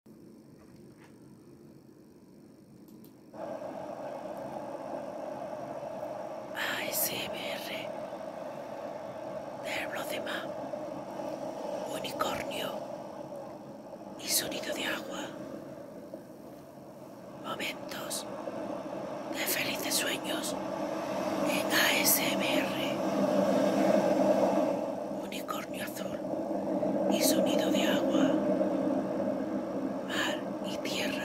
ASMR De unicornio y sonido de agua. Momentos de felices sueños en ASMR. Unicornio mi azul y sonido de agua, mar y tierra.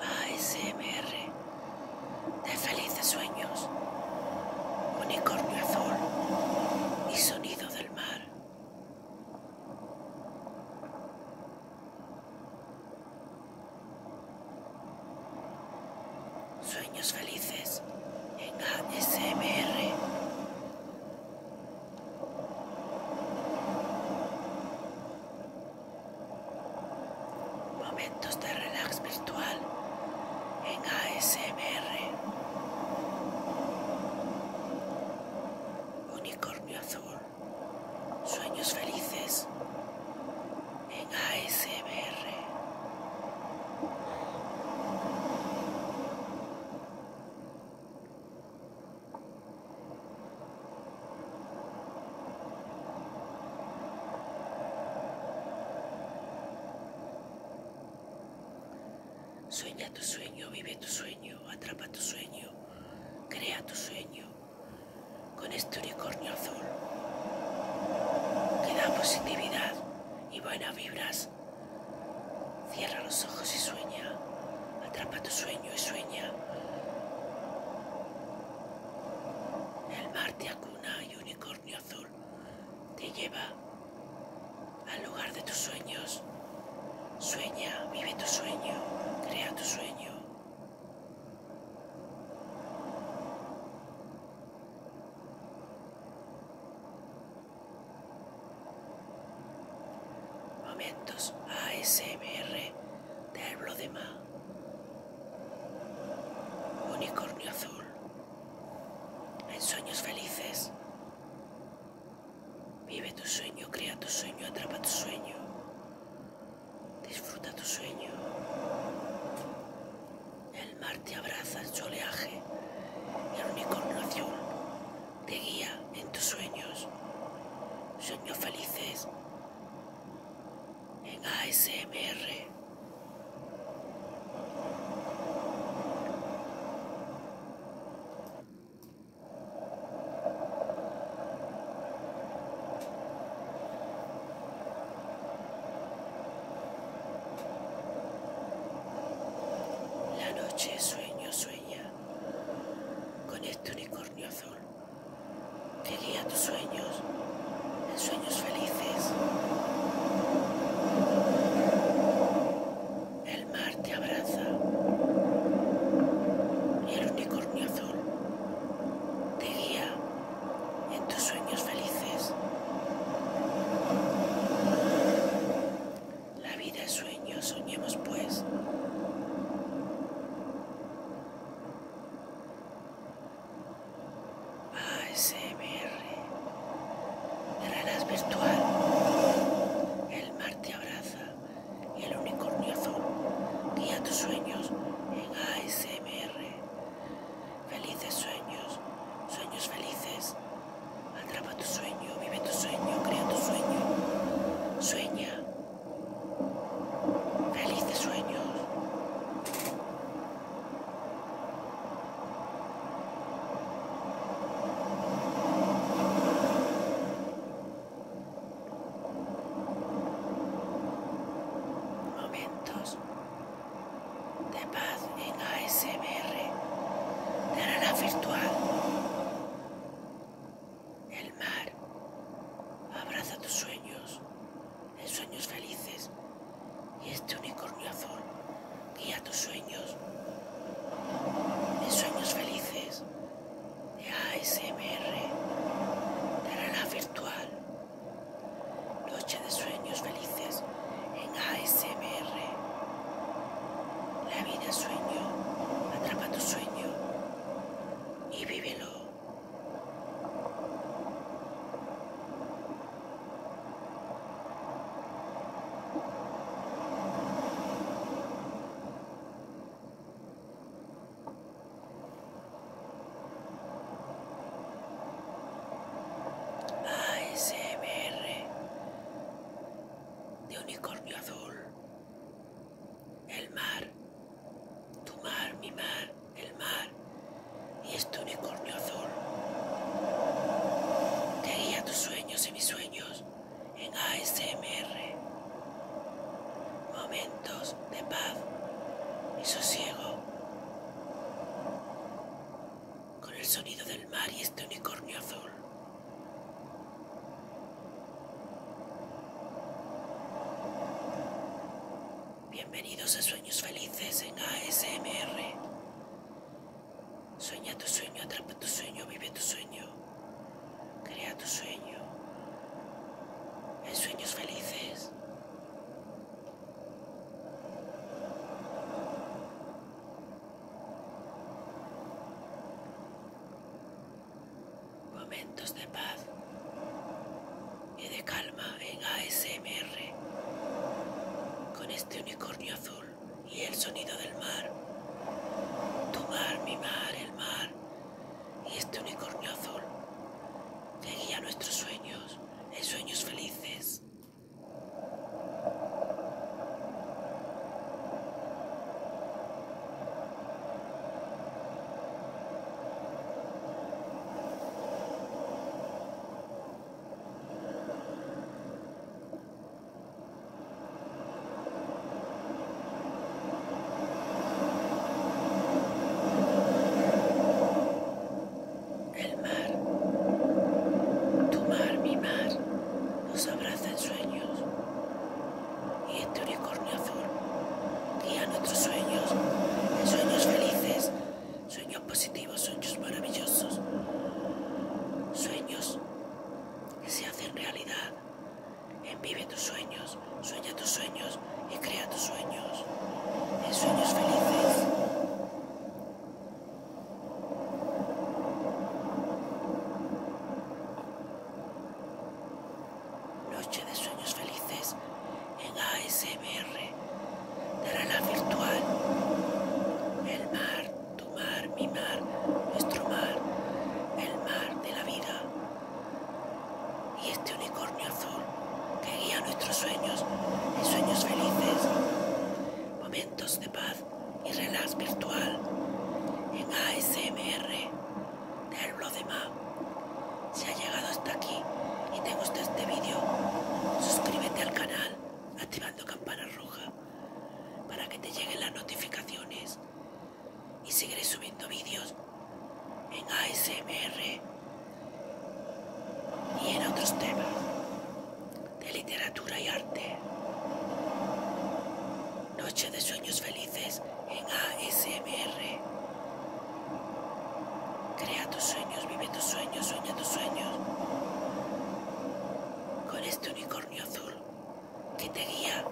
ASMR de felices sueños, unicornio azul y sonido del mar. Sueños felices en ASMR. Momentos de relax virtual en ASMR. Unicornio azul. Sueños felices en ASMR. Sueña tu sueño, vive tu sueño, atrapa tu sueño, crea tu sueño con este unicornio azul que da positividad y buenas vibras. Cierra los ojos y sueña. Atrapa tu sueño y sueña. El mar te acuna y unicornio azul te lleva al lugar de tus sueños. Sueña, vive tu sueño, crea tu sueño. Momentos ASMR de más Unicornio azul. En sueños felices. Vive tu sueño, crea tu sueño, atrapa tu sueño. Disfruta tu sueño. El mar te abraza en su oleaje. El único te guía en tus sueños. Sueños felices. En ASMR. La noche sueño sueña con este unicornio azul Te guía tus sueños en sueños felices. El mar te abraza y el unicornio azul te guía en tus sueños felices. La vida es sueño, soñemos pues. ASMR Ranas Virtual. El mar te abraza y el unicornio azul guía tus sueños en ASMR. Felices sueños, sueños felices. Atrapa tu sueño, vive tu sueño, crea tu sueño. Sueña. Felices sueños. Momentos de paz en ASMR de la virtual. El mar abraza tus sueños en sueños felices y este unicornio azul guía tus sueños en sueños felices de ASMR de la virtual. Noche de sueños felices en ASMR. La vida sueño, atrapa tu sueño y vívelo. ASMR de unicornio azul. El mar, tu mar, mi mar, el mar y este unicornio azul. Te guía tus sueños y mis sueños en ASMR. Momentos de paz y sosiego. Con el sonido del mar y este unicornio azul. Bienvenidos a Sueños Felices en ASMR. Sueña tu sueño, atrapa tu sueño, vive tu sueño, crea tu sueño. En Sueños Felices Momentos de paz y de calma en ASMR con este unicornio azul y el sonido del mar. Tu mar, mi mar, el mar, y este unicornio azul guía nuestros sueños en sueños felices. El mar, tu mar, mi mar, nos abraza en sueños y este unicornio azul guía nuestros sueños, sueños felices, sueños positivos, sueños maravillosos, sueños que se hacen realidad. en Envive tus sueños sueña tus sueños y crea tus sueños. En sueños felices. Noche de sueños felices en ASMR. de la virtual. El mar, tu mar, mi mar, nuestro mar. El mar de la vida. Y este unicornio azul que guía nuestros sueños y sueños felices, momentos de paz y relax virtual en ASMR del blog de Map. Si has llegado hasta aquí y te gusta este vídeo, suscríbete al canal activando campana roja para que te lleguen las notificaciones y seguiré subiendo vídeos en ASMR y en otros temas de literatura y arte. Noche de sueños felices en ASMR. Crea tus sueños, vive tus sueños, sueña tus sueños. Con este unicornio azul que te guía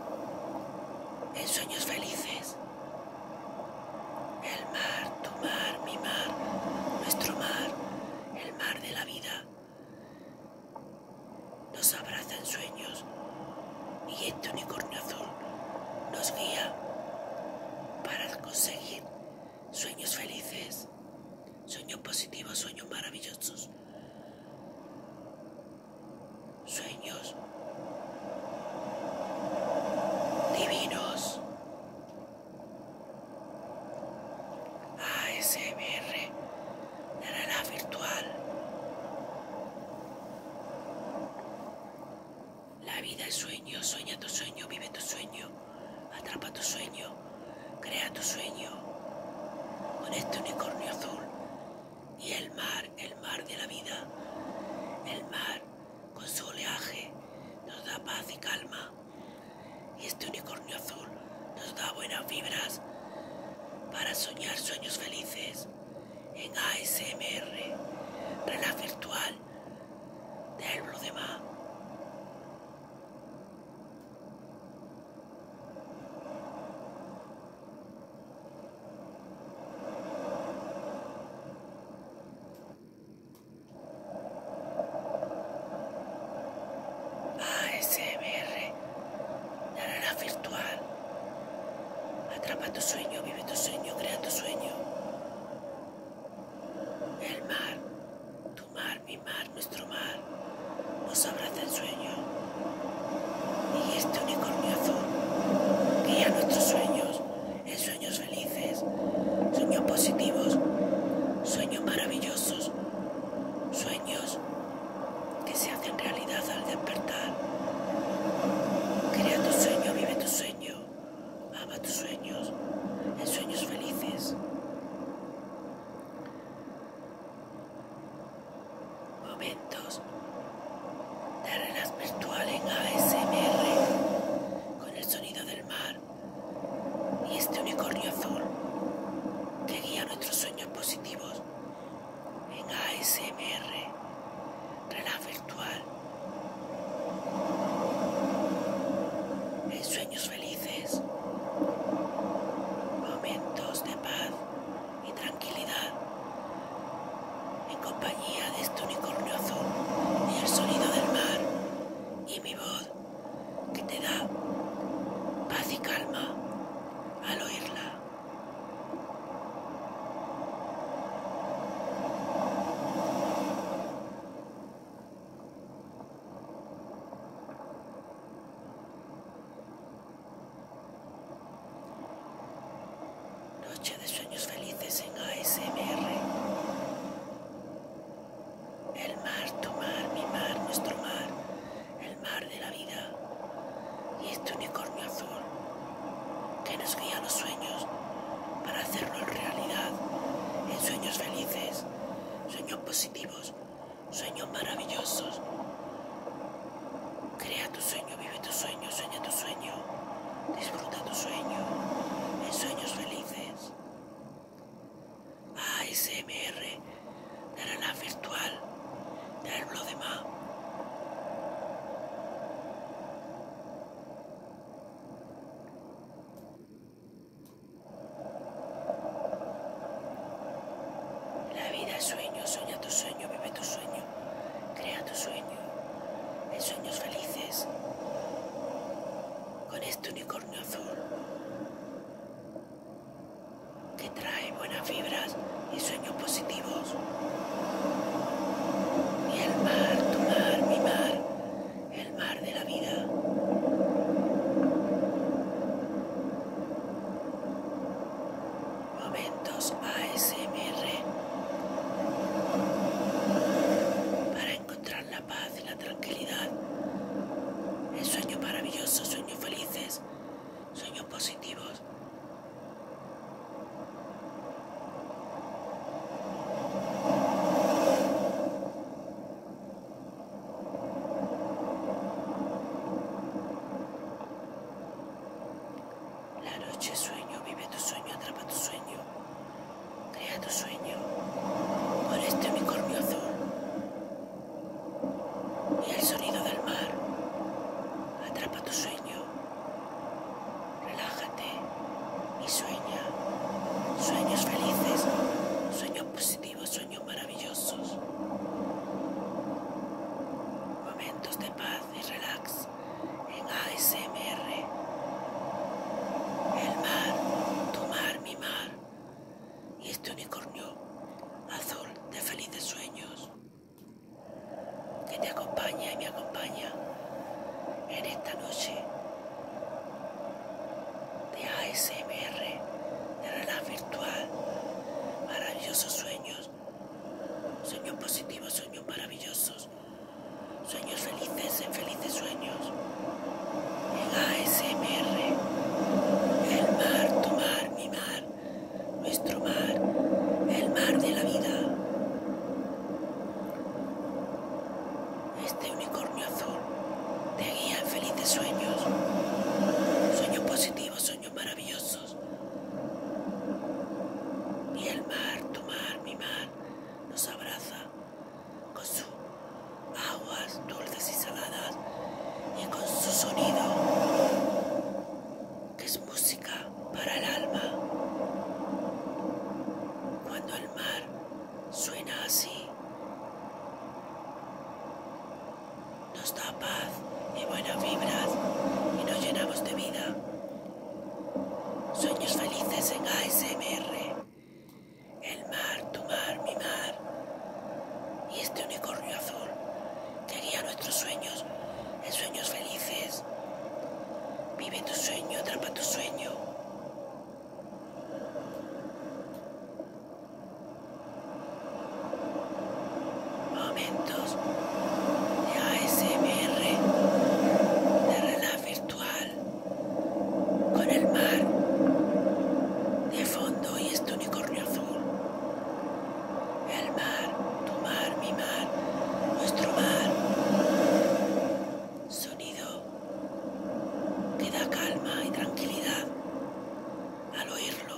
en sueños felices. El mar, tu mar, mi mar, nuestro mar, el mar de la vida. Nos abraza en sueños y este unicornio azul nos guía para conseguir sueños felices, sueños positivos, sueños maravillosos sueños divinos. ASMR, naranja virtual. La vida es sueño, sueña tu sueño, vive tu sueño, atrapa tu sueño, crea tu sueño. Con este unicornio azul y el mar, el mar de la vida. El mar, con su oleaje, nos da paz y calma. Y este unicornio azul nos da buenas vibras para soñar sueños felices en ASMR, relaj Virtual del Bloodema. ASMR, naranja virtual. Atrapa tu sueño, vive tu sueño, crea tu sueño. El mar, tu mar, mi mar, nuestro mar, Os abraza el sueño. Y este unicornio azul crea nuestros sueños en sueños felices, sueños positivos, sueños maravillosos, sueños que se hacen realidad al despertar. Crea tu sueño, vive tu sueño, ama tus sueños en sueños felices. Momentos de relax virtual en ASMR con el sonido del mar y este unicornio azul que guía nuestros sueños positivos en ASMR relax virtual en sueños felices momentos de paz y tranquilidad en compañía de este unicornio azul y el sonido del mar y mi voz que te da paz y calma al oírla. Noche de sueños felices en ASMR. El mar, tu mar, mi mar, nuestro mar, el mar de la vida y este unicornio azul que nos guía los sueños para hacerlos realidad en sueños felices, sueños positivos, sueños maravillosos Crea tu sueño, vive tu sueño, sueña tu sueño, disfruta tu sueño, en sueños felices. ASMR, de la virtual, del blog de la vida es sueño, sueña tu sueño, vive tu sueño, crea tu sueño, en sueños felices, con este unicornio azul que trae buenas fibras y sueños positivos. Y el mar, tu mar, mi mar, el mar de la vida. Momentos ASMR para encontrar la paz y la tranquilidad. El sueño maravilloso, sueños felices, sueños positivos. La noche sueño, vive tu sueño, atrapa tu sueño, crea tu sueño. Por este mi azul y el sonido del mar, atrapa tu sueño, relájate y sueña. Sueños felices, sueños positivos sueños maravillosos. Momentos de paz y relax en ASMR. El mar, tu mar, mi mar. Y este unicornio azul de felices sueños que te acompaña y me acompaña en esta noche de ASMR de Maravillosos sueños. Sueños positivos, sueños maravillosos. Sueños felices en felices sueños. el ASMR. El mar, tu mar, mi mar. Nuestro mar. El mar de la vida. Este unicornio azul te guía en felices sueños. Sueños positivos, maravillosos. Y el mar, tu mar, mi mar, nos abraza con sus aguas dulces y saladas y con su sonido, que es música para el alma. Cuando el mar suena así, nos da paz y buenas vibras y nos llenamos de vida. Sueños felices en ASMR. El mar, tu mar, mi mar. Y este unicornio azul que guía nuestros sueños en sueños felices. Vive tu sueño, atrapa tu sueño momentos de ASMR, de relaj virtual, con el mar de fondo y este unicornio azul. El mar, tu mar, mi mar, nuestro mar. Sonido que da calma y tranquilidad al oírlo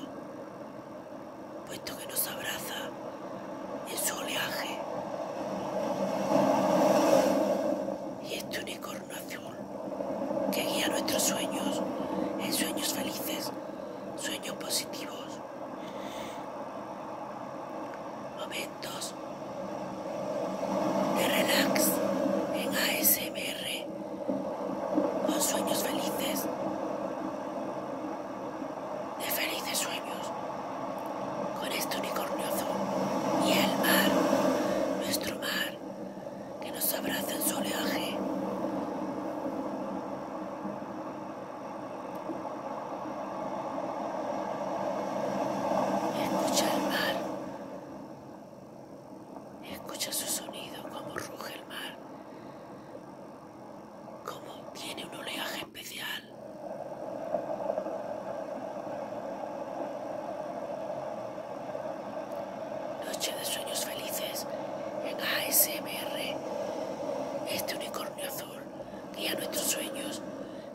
puesto que nos abraza en su oleaje. Y este unicornio azul que guía nuestros sueños en sueños felices, sueños positivos. Momentos de relax en ASMR con sueños felices. De felices sueños. Con este unicornio azul y el mar, nuestro mar, que nos abraza en su oleaje. Escucha el mar Escucha su sonido, como ruge el mar, como tiene un oleaje especial. Noche de sueños felices en ASMR. Este unicornio azul guía nuestros sueños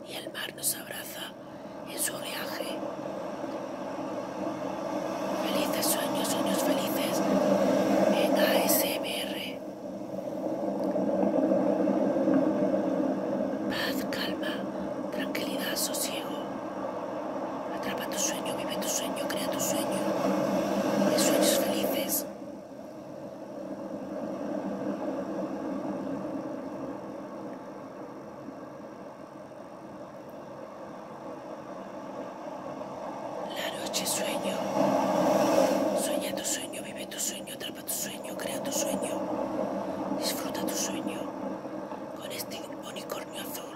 y el mar nos abraza en su viaje. Felices sueños, sueños felices en ASMR. Paz, calma, tranquilidad, sosiego. Atrapa tu sueño, vive tu sueño, crea tu sueño. sueños felices. La noche sueño. Sueña tu sueño, vive tu sueño, atrapa tu sueño, crea tu sueño. Disfruta tu sueño con este unicornio azul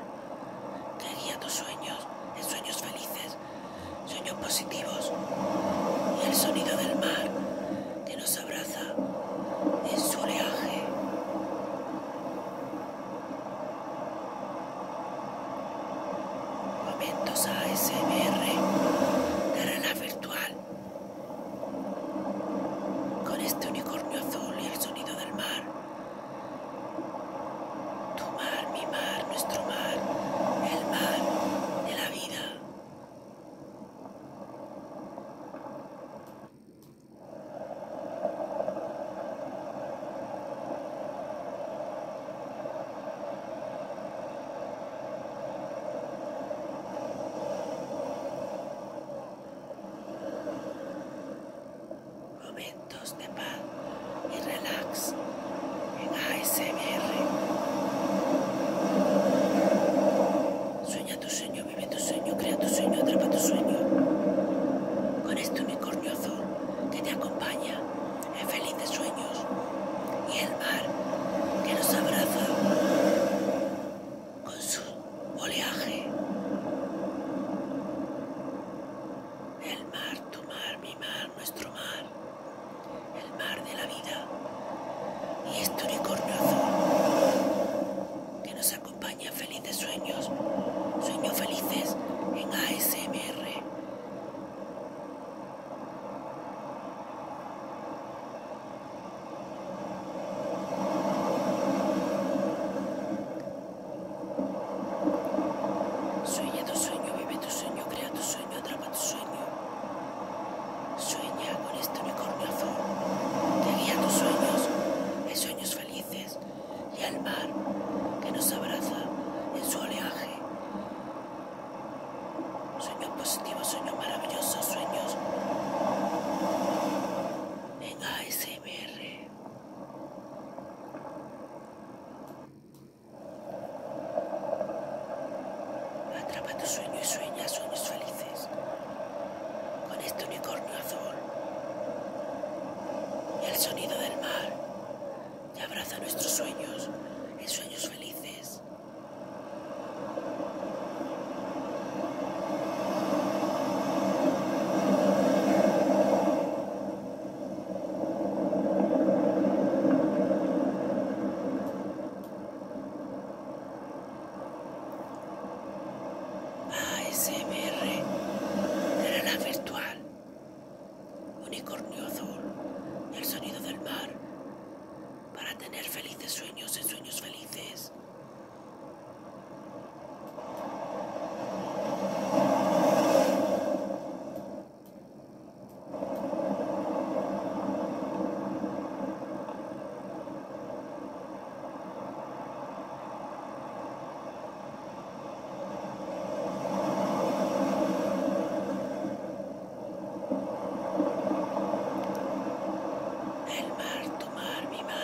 te guía tus sueños en sueños felices, sueños positivos y el sonido del mar que nos abraza en su oleaje. Momentos ASMR de virtual. Con este unicornio azul y el sonido del mar. Tu mar, mi mar, nuestro mar, el mar de la vida. Momentos de paz y relax en ASMR. tu vive tu sueño, crea tu sueño, atrapa tu sueño. Con este unicornio azul que te acompaña en de sueños y el mar que nos abraza con su oleaje. El mar, tu mar, mi mar, nuestro mar, el mar de la vida y este unicornio que nos acompaña acompaña felices sueños, sueños felices en ASMR. Sueña tu sueño, vive tu sueño, crea tu sueño, atrapa tu sueño. Sueña con este unicornio azul, te guía tus sueños, sueños felices y al mar que nos abraza en su oleaje. Sueños positivos, sueños maravillosos, sueños en ASMR. Atrapa tu sueño y sueña sueños felices con este unicornio azul. Y el sonido del mar que abraza nuestros sueños en sueños felices. ASMR el la virtual. Unicornio azul el sonido del mar. Para tener felices sueños y sueños felices. El mar, tu mar, mi mar,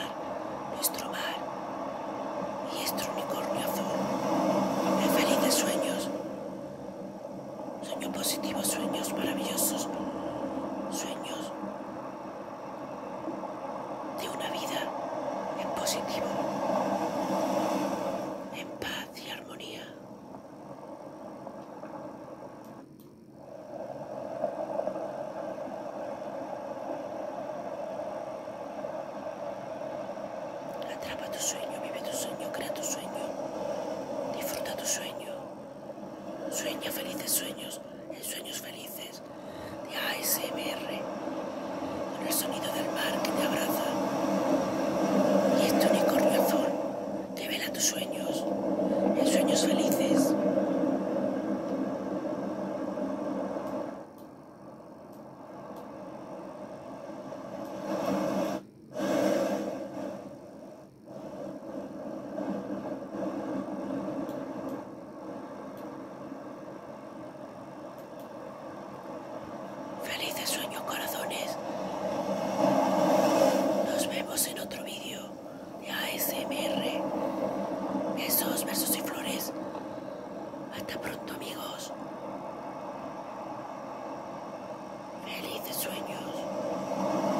nuestro mar y nuestro unicornio azul. De felices sueños, sueño positivo, sueños maravillosos, sueños de una vida en positivo, en paz y armonía. Atrapa tu sueño, vive tu sueño, crea tu sueño, disfruta tu sueño. Sueña felices sueños en sueños felices de ASMR con el sonido del mar que te abraza y este unicornio azul te vela tus sueños en sueños felices. Felices sueños, corazones. Nos vemos en otro vídeo de ASMR. Besos, versos y flores. Hasta pronto, amigos. Felices sueños.